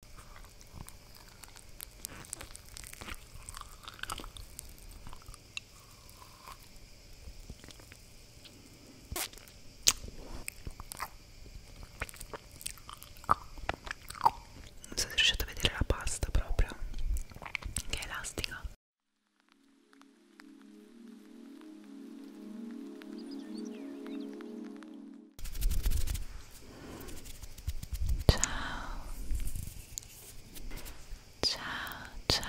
Non so se riuscite a vedere la pasta proprio, che è elastica. Ciao. Ciao, ciao,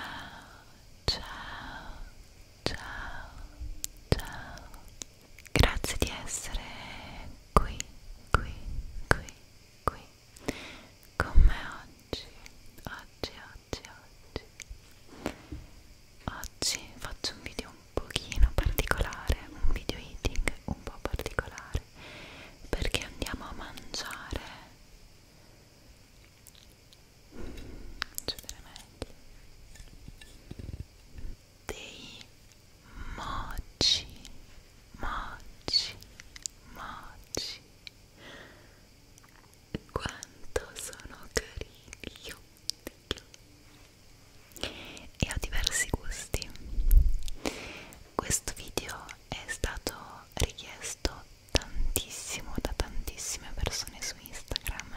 ciao, ciao, ciao. Grazie di essere qui, qui, qui, qui. Con me oggi, oggi, oggi, oggi. Oggi faccio un video un pochino particolare, un video eating un po' particolare perché andiamo a mangiare Giudere meglio dei mochi mochi mochi quanto sono carini io, io e ho diversi gusti. Questo video è stato richiesto tantissimo da tantissime persone su Instagram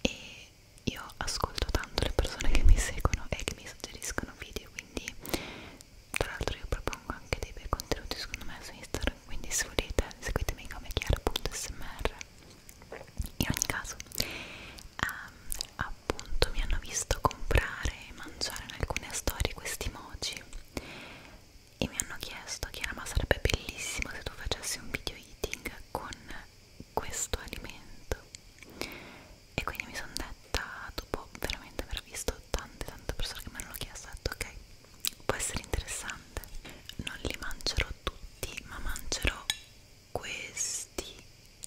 e io ascolto tanto le persone che mi seguono e che mi suggeriscono video, quindi tra l'altro io propongo anche dei bei contenuti secondo me su Instagram, quindi se volete seguitemi come chiara.smr in ogni caso ehm, appunto mi hanno visto comprare e mangiare in alcune storie questi mochi e mi hanno chiesto Chiara ma sarebbe bellissimo se tu facessi un video eating con questo alimento e quindi mi sono detta dopo veramente aver visto tante tante persone che me l'hanno chiesto ho detto ok può essere interessante non li mangerò tutti ma mangerò questi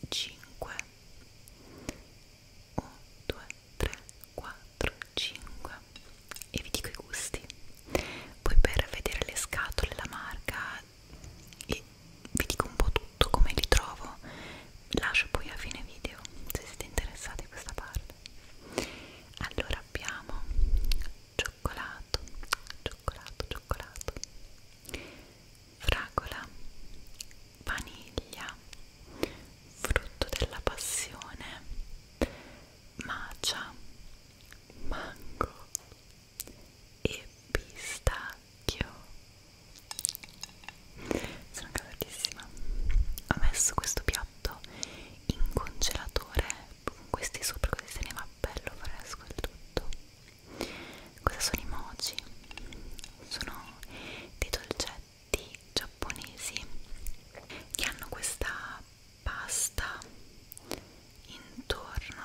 5 1 2 3 4 5 e vi dico i gusti poi per vedere le scatole la marca e vi dico un po' tutto come li trovo lascio poi a fine video se siete interessati a questa parte allora abbiamo cioccolato cioccolato cioccolato fragola, vaniglia, frutto della passione, macia, mango e pistacchio. Sono gasatissima. Ho messo questo piatto in congelatore con questi sopra così se ne va bello fresco il tutto Cosa sono i mochi? Sono dei dolcetti giapponesi che hanno questa pasta intorno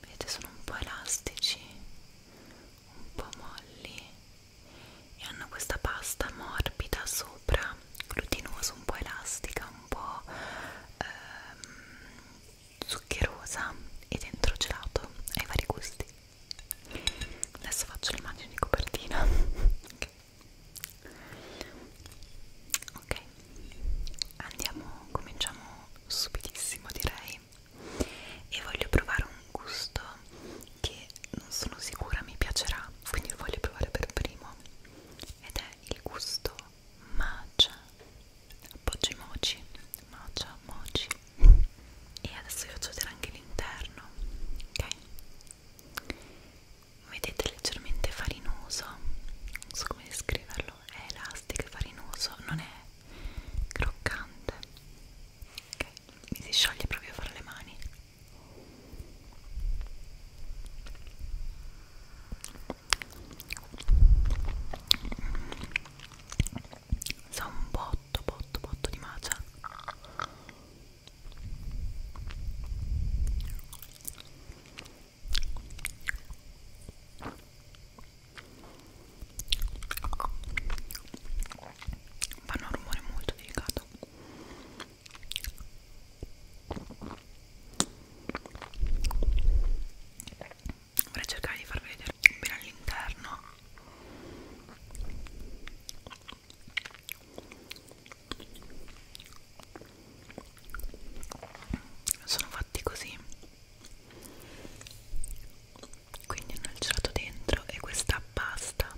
vedete sono un po' elastici un po' molli e hanno questa pasta morbida sopra glutinosa un po' elastica un po' ehm, zuccherosa e dentro gelato ai vari gusti adesso faccio le immagini di copertina ok, okay. andiamo cominciamo subitissimo direi e voglio provare un gusto che non sono sicura mi piacerà quindi lo voglio provare per primo ed è il gusto matcha appoggi moci matcha moci e adesso vi faccio vedere anche l'interno ok vedete leggermente farinoso non so come descriverlo è elastico e farinoso non è croccante ok mi si scioglie proprio fra le mani sa un botto botto botto di matcha fanno un rumore molto delicato vorrei cercare di farvi vedere bene all'interno sono fatti così quindi hanno il gelato dentro e questa pasta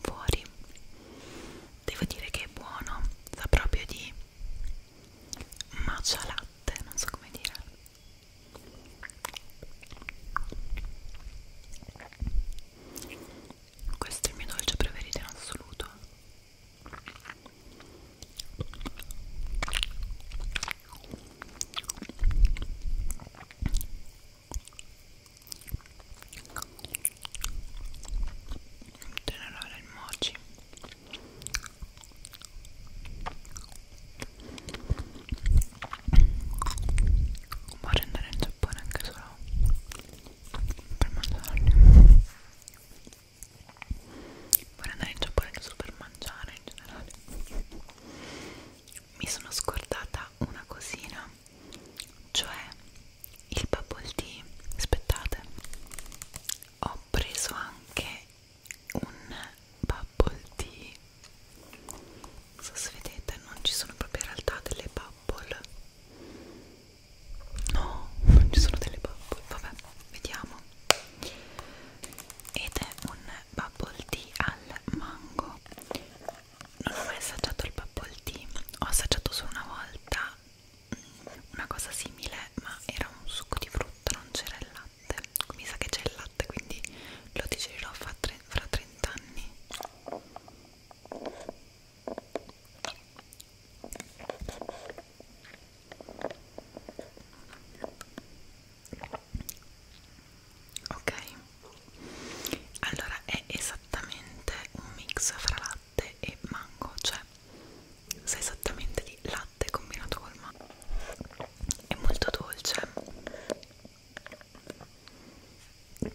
fuori devo dire che è buono sa proprio di matcha latte non so come dire questo è il mio dolce preferito in assoluto in generale il mochi Voglio andare in Giappone anche solo per mangiarli. Vorrei andare in Giappone anche solo per mangiare in generale. Mi sono scordata una cosina, cioè il bubble tea. Aspettate, ho preso anche un bubble tea non so se vedete non ci sono proprio in realtà delle bubble no non ci sono delle bubble vabbè vediamo ed è un bubble tea al mango non ho mai assaggiato il bubble tea ho assaggiato solo una volta una cosa simile ma era un succo di frutta non c'era il latte latte mi sa che c'è il latte quindi lo digerirò fra, tre, fra 30 anni ok allora è esattamente un mix fra latte e mango cioè sa esattamente di latte combinato col mango è molto dolce e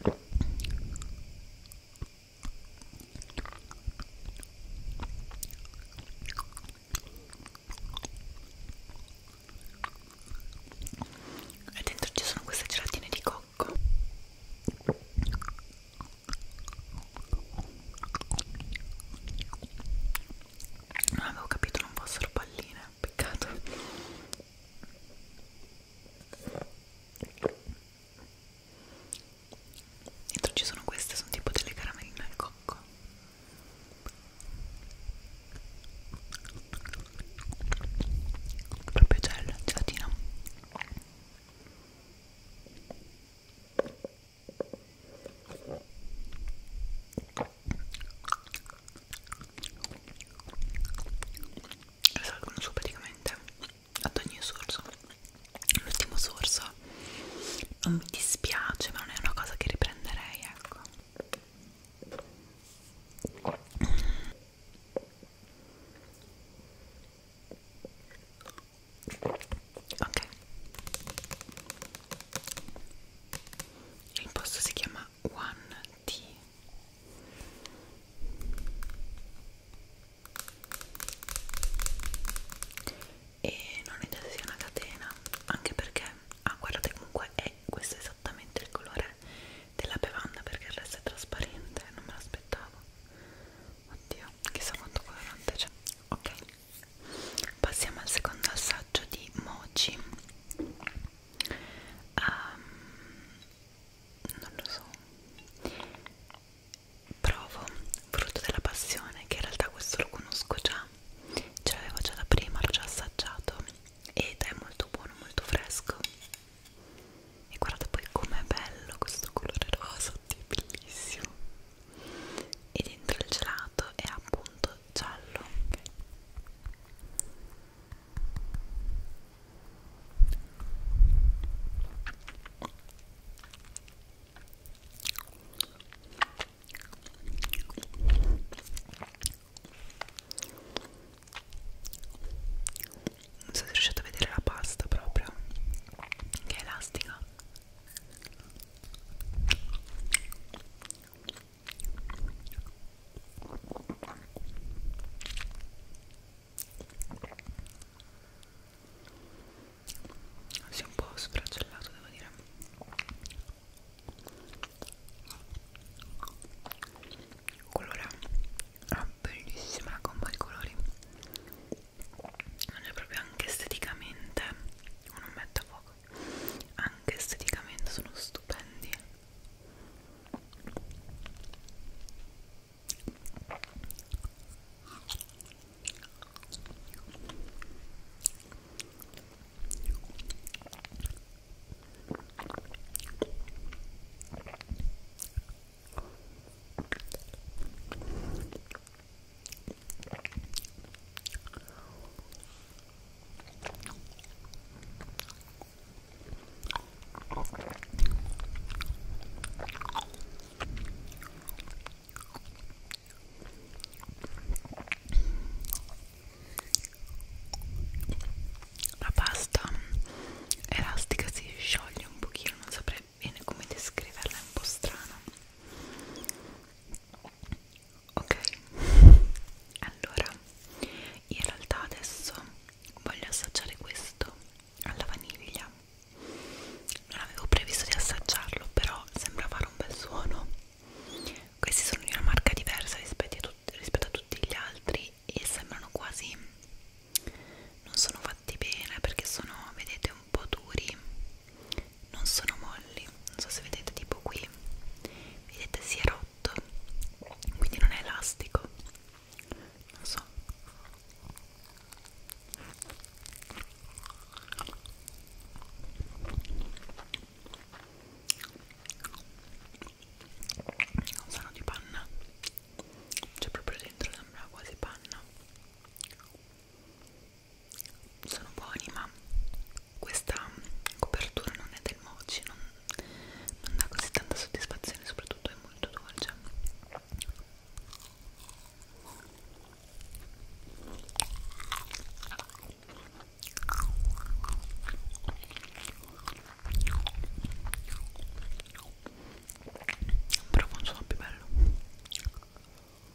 dentro ci sono queste gelatine di cocco non avevo capito non fossero palline peccato dentro ci sono queste sono tipo delle caramelline al cocco proprio gel gelatina Salgono su praticamente ad ogni sorso. L'ultimo sorso non mi dispiace, ma non è una cosa che riprenderei, ecco ok il posto si chiama One T e non è sia una catena anche perché ah guardate comunque è questo è esattamente il colore della bevanda perché il resto è trasparente non me l'aspettavo oddio chissà quanto colorante c'è ok Passiamo al secondo assaggio di Mochi. Um, non lo so. Provo frutto della passione, che in realtà questo lo conosco già. Ce l'avevo già da prima, l'ho già assaggiato ed è molto buono, molto fresco. E guardate poi com'è bello questo colore rosa, è bellissimo e dentro il gelato è appunto giallo okay. non so se riuscite a vedere la pasta proprio che è elastica si è un po' sfragellato devo dire colora ha ah, bellissima combo di colori non è proprio anche esteticamente un ometto poi anche esteticamente sono stupendi la pasta elastica si scioglie un pochino, non saprei bene come descriverla, è un po' strana ok allora in realtà adesso voglio assaggiare questo alla vaniglia non avevo previsto di assaggiarlo però sembra fare un bel suono questi sono di una marca diversa rispetto a, tut rispetto a tutti gli altri e sembrano quasi non sono fatti bene perché sono vedete un po' duri non sono molli non so se vedete tipo qui vedete si è rotto quindi non è elastico non so non sono di panna c'è proprio dentro sembra quasi panna sono buoni ma questa copertura non è del mochi non, non dà così tanta soddisfazione soprattutto è molto dolce però funziona più bello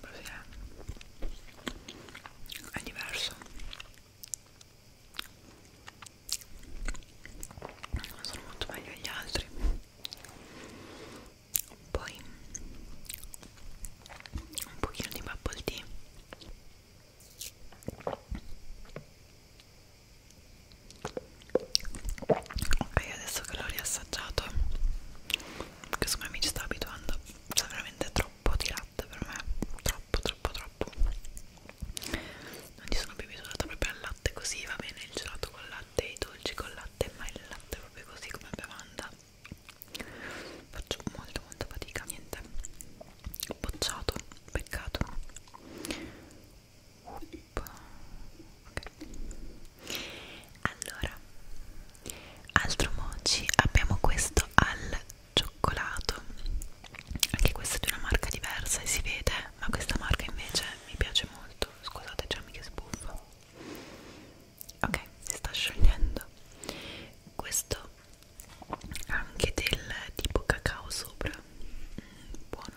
Così è. È diverso. Sono molto meglio agli altri. Poi un pochino di bubble tea ok adesso che l'ho riassaggiato perché secondo me mi ci sto abituando c'è veramente troppo di latte per me troppo troppo troppo non ci sono più abituata proprio al latte così va bene il gelato con latte i dolci con latte ma il latte proprio così come bevanda faccio molto molta fatica niente bocciato peccato Okay. Allora, altro mochi abbiamo questo al cioccolato, anche questo è di una marca diversa e si vede, ma questa marca invece mi piace molto. Scusate, Gianni che sbuffo. Ok, si sta sciogliendo. Questo anche del tipo cacao sopra, mm, buono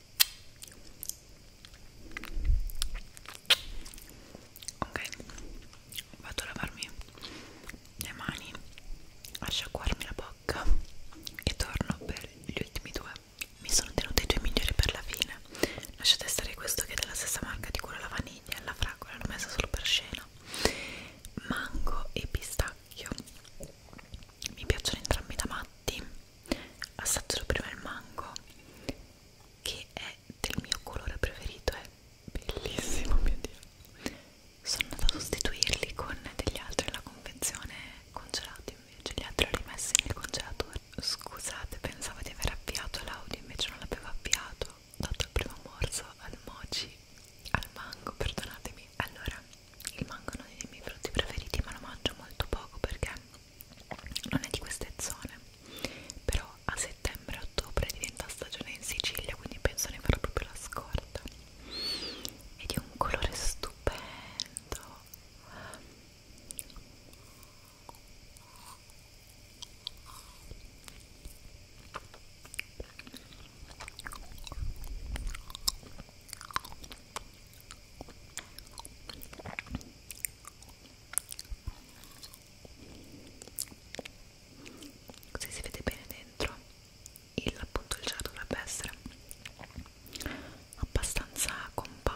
ok vado a lavarmi le mani a sciacquarmi la bocca e torno per gli ultimi due mi sono tenuta i due migliori per la fine lasciate stare questo che è della stessa marca di quello alla vaniglia alla fragola l'ho messa solo per scena mango e pistacchio mi piacciono entrambi da matti assaggio prima il mango che è del mio colore preferito è bellissimo mio dio sono andata a sostituirli con degli altri alla convenzione congelati invece gli altri li ho rimessi nel congelatore scusate pensavo di aver avviato l'audio invece non l'avevo avviato ho dato il primo morso al mochi al mango perdonatemi allora il mango è uno dei miei frutti preferiti ma lo mangio molto poco perché non è di queste zone però a settembre ottobre diventa stagione in Sicilia quindi penso ne farò proprio la scorta è di un colore stupendo così si vede bene dentro il appunto il gel dovrebbe essere abbastanza compatto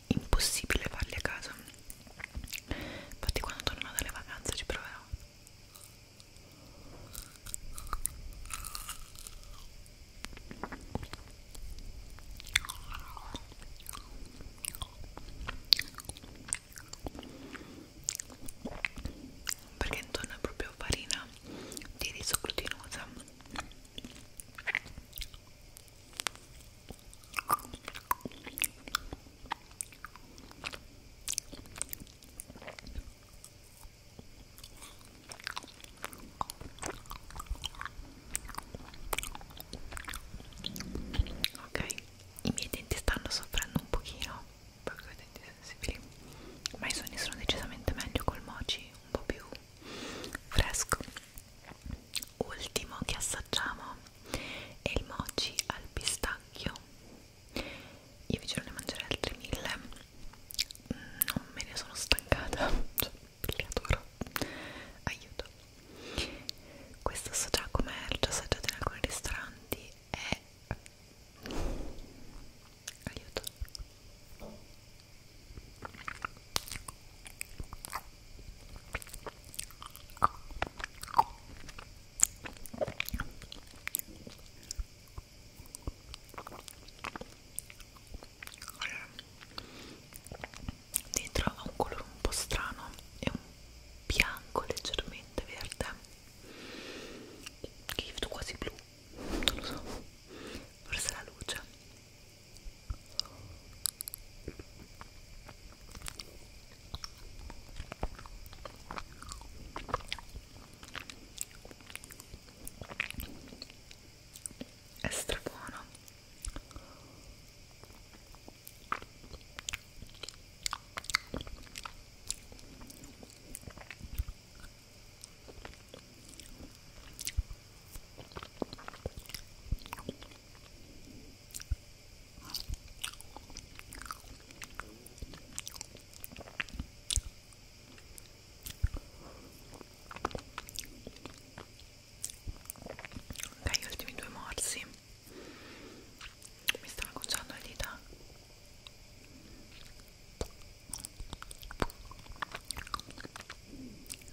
impossibile farli a casa infatti quando torno dalle vacanze ci proverò perché intorno è proprio farina di riso glutinosa Ok, i miei denti stanno soffrendo un pochino perché ho i denti sensibili, ma i suoni sono decisamente meglio col mochi, un po' più fresco ultimo che assaggiamo è il mochi al pistacchio io vi giuro ne mangerei altri mille mm, non me ne sono stancata cioè li adoro aiuto questo so già com'è l'ho già assaggiato in alcuni ristoranti e aiuto allora, dentro ha un colore un po' strano è un bianco leggermente verde che io vedo quasi blu non lo so forse la luce è strabuono Ok, gli ultimi due morsi mi stanno acconciando le dita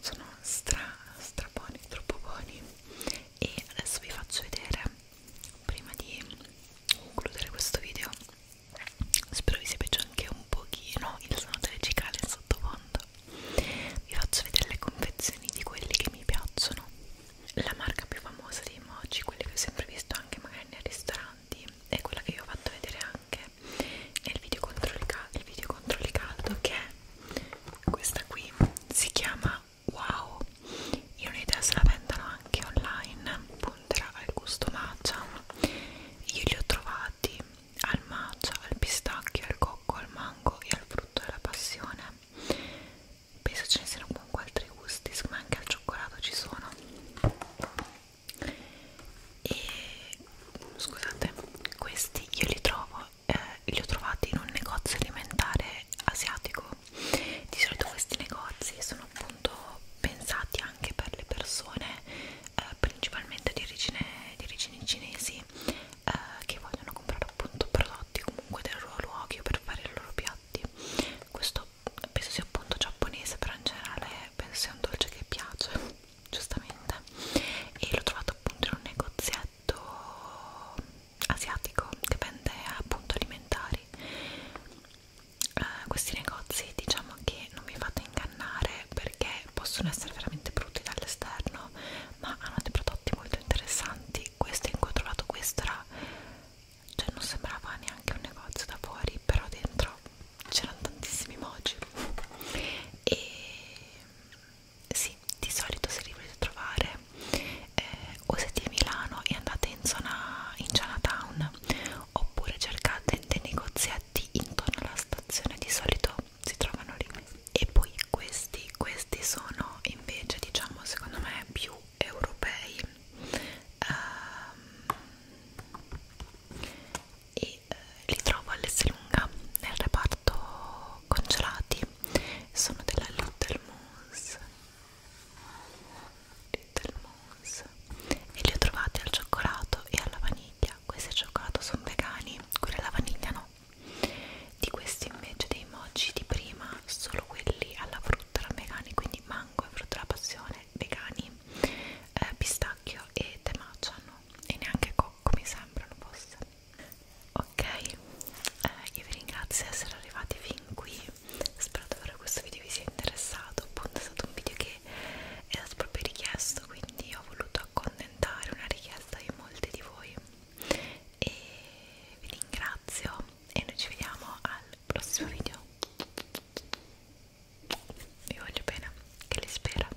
sono stra stra buoni, troppo buoni e adesso vi faccio vedere prima di concludere questo video spero vi sia piaciuto anche un pochino il suono delle cicale in sottofondo vi faccio vedere le confezioni di quelli che mi piacciono la marca più famosa dei mochi, quelle che ho sempre visto anche magari nei ristoranti è quella che vi ho fatto vedere anche nel video contro il, cal il video contro il caldo che è questa qui si chiama Wow io non ho idea se la vendono anche online punterà al gusto matcha io li ho trovati al matcha, al pistacchio, al cocco, al mango e al frutto della passione penso ce ne siano comunque altri gusti ma anche al cioccolato ci sono e scusate questi io li trovo eh, li ho trovati in un negozio alimentare asiatico di solito questi negozi sono appunto pensati anche per le persone eh, principalmente di origine, di origine cinesi eh, che vogliono comprare appunto prodotti comunque del loro luogo per fare i loro piatti questo penso sia appunto giapponese però in generale penso sia un dolce che piace giustamente e l'ho trovato appunto in un negozio piatto asiatico che vende appunto alimentari eh, questi negozi diciamo che non vi fate ingannare perché possono essere veramente brutti dall'esterno ma hanno dei prodotti molto interessanti questo in cui ho trovato questo era cioè non sembrava neanche un negozio da fuori però dentro c'erano tantissimi emoji e sì, di solito se li volete trovare eh, o siete a Milano e andate in zona in Chinatown oppure cercate dei negozietti intorno alla stazione, di solito si trovano lì. E poi questi, questi sono invece, diciamo, secondo me più europei um, e eh, li trovo all'Esselunga nel reparto sono congelati sono della Little Moose Little Moose e li ho trovati al cioccolato e alla vaniglia questi al cioccolato sono vegani quelli alla vaniglia no di questi invece dei mochi di prima solo quelli alla frutta erano vegani quindi mango e frutta alla passione vegani eh, pistacchio e temaciano e neanche cocco mi sembrano fosse ok eh, io vi ringrazio di essere arrivati fin qui spero davvero questo video vi sia interessato appunto è stato un video che è stato proprio richiesto quindi ho voluto accontentare una richiesta di molti di voi e vi ringrazio e noi ci vediamo al prossimo video vi voglio bene che li spero